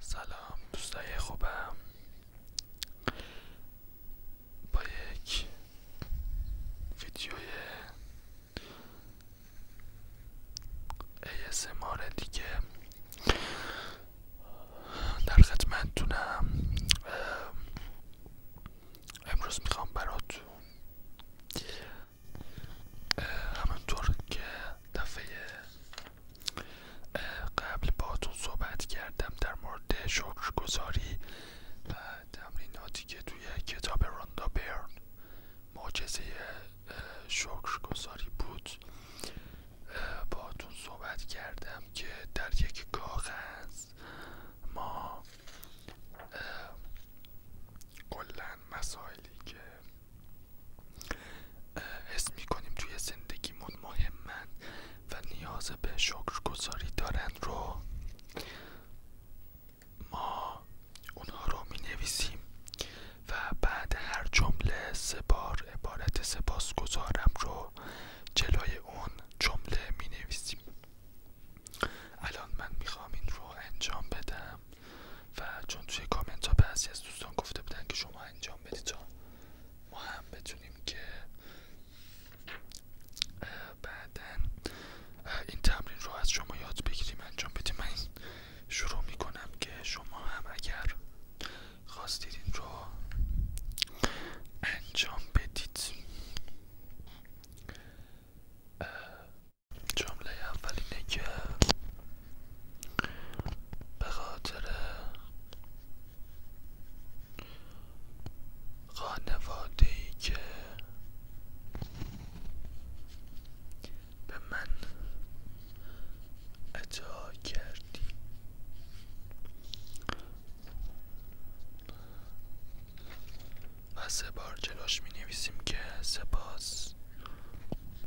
سلام دوستای خوبم با یک ویدیوی ASMR دیگه در خدمتتونم امروز میخوام براتون همونطور که دفعه قبل باتون صحبت کردم در مورد گذاری و تمریناتی که توی کتاب راندا برن معجزه گذاری بود باتون صحبت کردم که در یک کاغذ ما کلا مسائلی که اسمی میکنیم توی زندگیمون مهمن و نیاز به شکرگزاری دارن رو ما اونها رو می و بعد هر جمله سه بار عبارت سپاسگزارم رو جلوی اون جمله می الان من میخوام این رو انجام بدم و چون توی کامنت ها بعضی از دوستان گفته بودن که شما انجام بدید تا ما هم بتونیم که بعدا این تمرین رو از شما یاد بگیریم انجام بدیم من شروع میکنم که شما هم اگر خواستید این رو انجام بدید جمله اول اینه که به خاطر خانواده ای که به من عطا کردی و سه بار جلوش می نویسیم که سپاس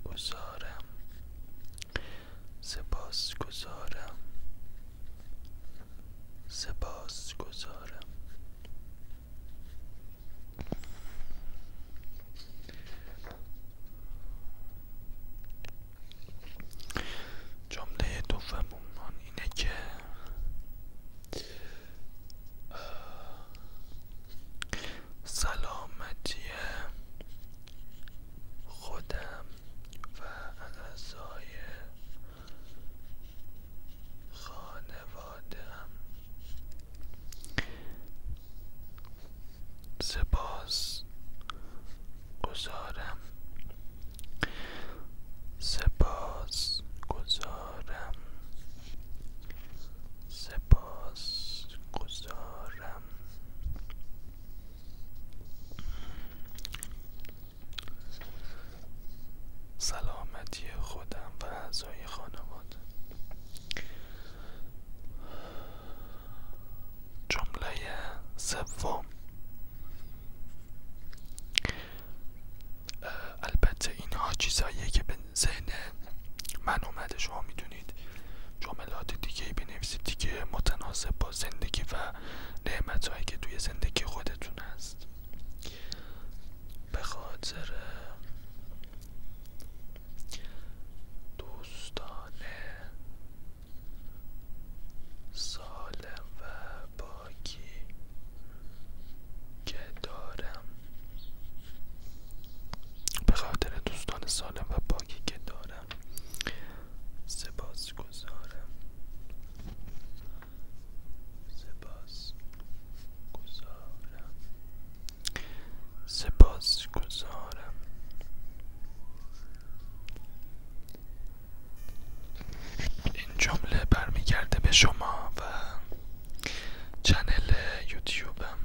گذارم سپاس گذارم سپاس گذارم دو دوممون اینه که سلامتی خودم و اعضای خانوادم سپاس گذارم سپاس گذارم سپاس گذارم سلامتی خودم و اعضای خانواده جمله سوم البته اینها چیزهاییه که به ذهن من اومده شما میدونید جملات دیگه ای بنویسید دیگه متناسب با زندگی و نعمت هایی که توی زندگی خودتون هست به خاطر دوستانه سالم و باکی که دارم به خاطر دوستان سالم و باکی که دارم سپاس گذارم سپاس گزارم سپاس گزارم. این جمله برمیگرده به شما و چنل یوتیوبم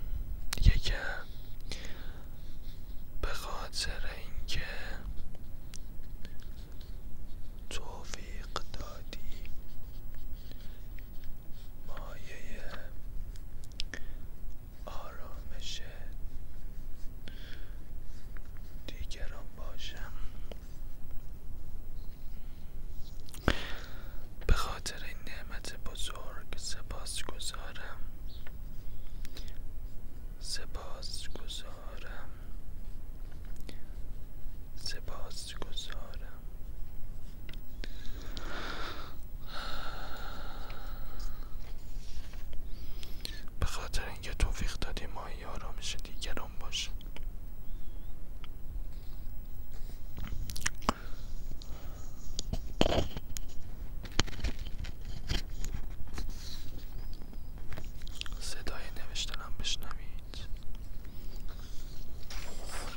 یکی به خاطر اینکه توفیق دادی مایه آرامش دیگران باشم به خاطر این نعمت بزرگ سپاس گذارم سپاس گذارم سپاس گذارم به خاطر اینکه توفیق دادی ماهی آرامش دیگران باشه صدای نوشتنم بشنوید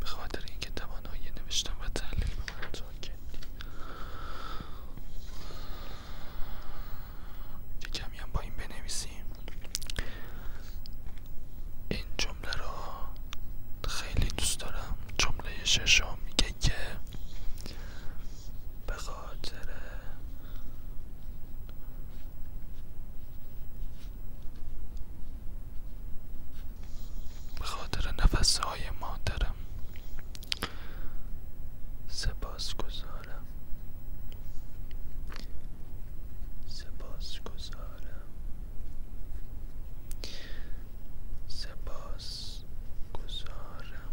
به خاطر اینکه توانایی نوشتم و تحلیل به من کردی یه هم با این بنویسیم این جمله رو خیلی دوست دارم جمله ششم میگه که به خاطر به خاطر نفسهای مادرم سپاس گزارم سپاس گزارم سپاس گزارم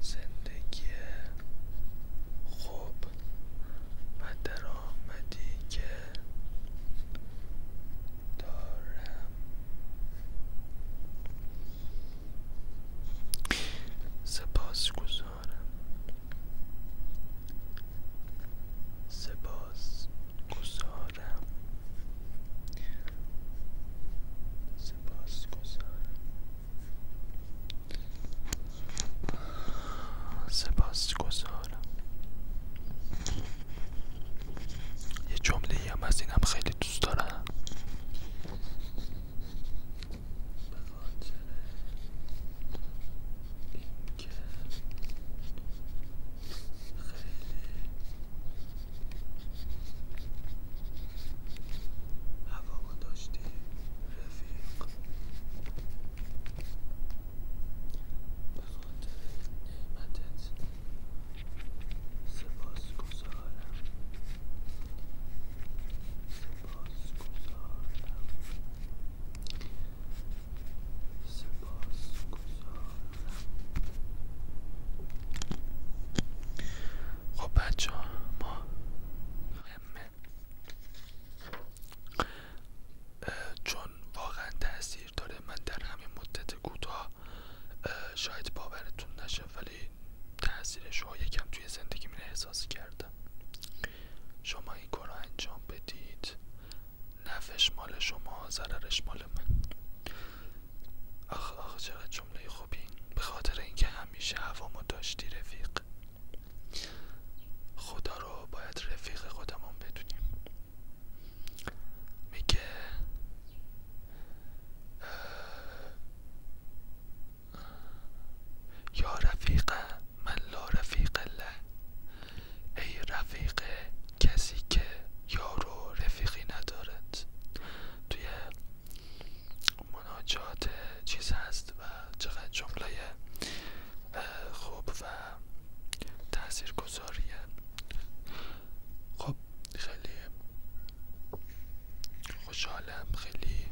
زندگی خوب و درآمدی که دارم سپاس گذارم سپاس گذارم سپاس گذارم سپاس گذارم یه جمله هم از اینم خیلی دوست دارم هوا داشتی رفیق به خاطر نعمتت سپاس گذارم سپاس گذارم سپاس خب بچه ها ما همه چون واقعا تاثیر داره من در همین مدت کوتاه شاید باورتون نشه ولی تاثیرش رو یکم توی زندگی من احساس کردم شما این کار انجام بدید نفش مال شما ضررش مال من آخ آخ چقدر جمله خوبی به خاطر اینکه همیشه هوامو داشتی رفیق خدا رو باید رفیق خودمون بدونیم میگه یا رفیق من لا رفیق الله ای رفیق کسی که یارو رفیقی ندارد توی مناجات چیز هست و چقدر جمله خوب و تأثیر گذاریه خب خیلی خوشحالم خیلی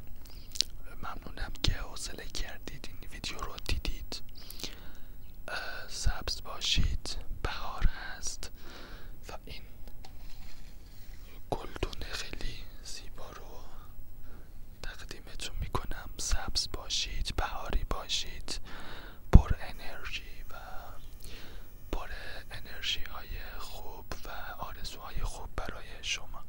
ممنونم که حوصله کردید این ویدیو رو دیدید سبز باشید بهار هست و این گلدون خیلی زیبا رو تقدیمتون میکنم سبز باشید بهاری باشید پر انرژی و پر انرژی های خوب و آرزوهای خوب برای شما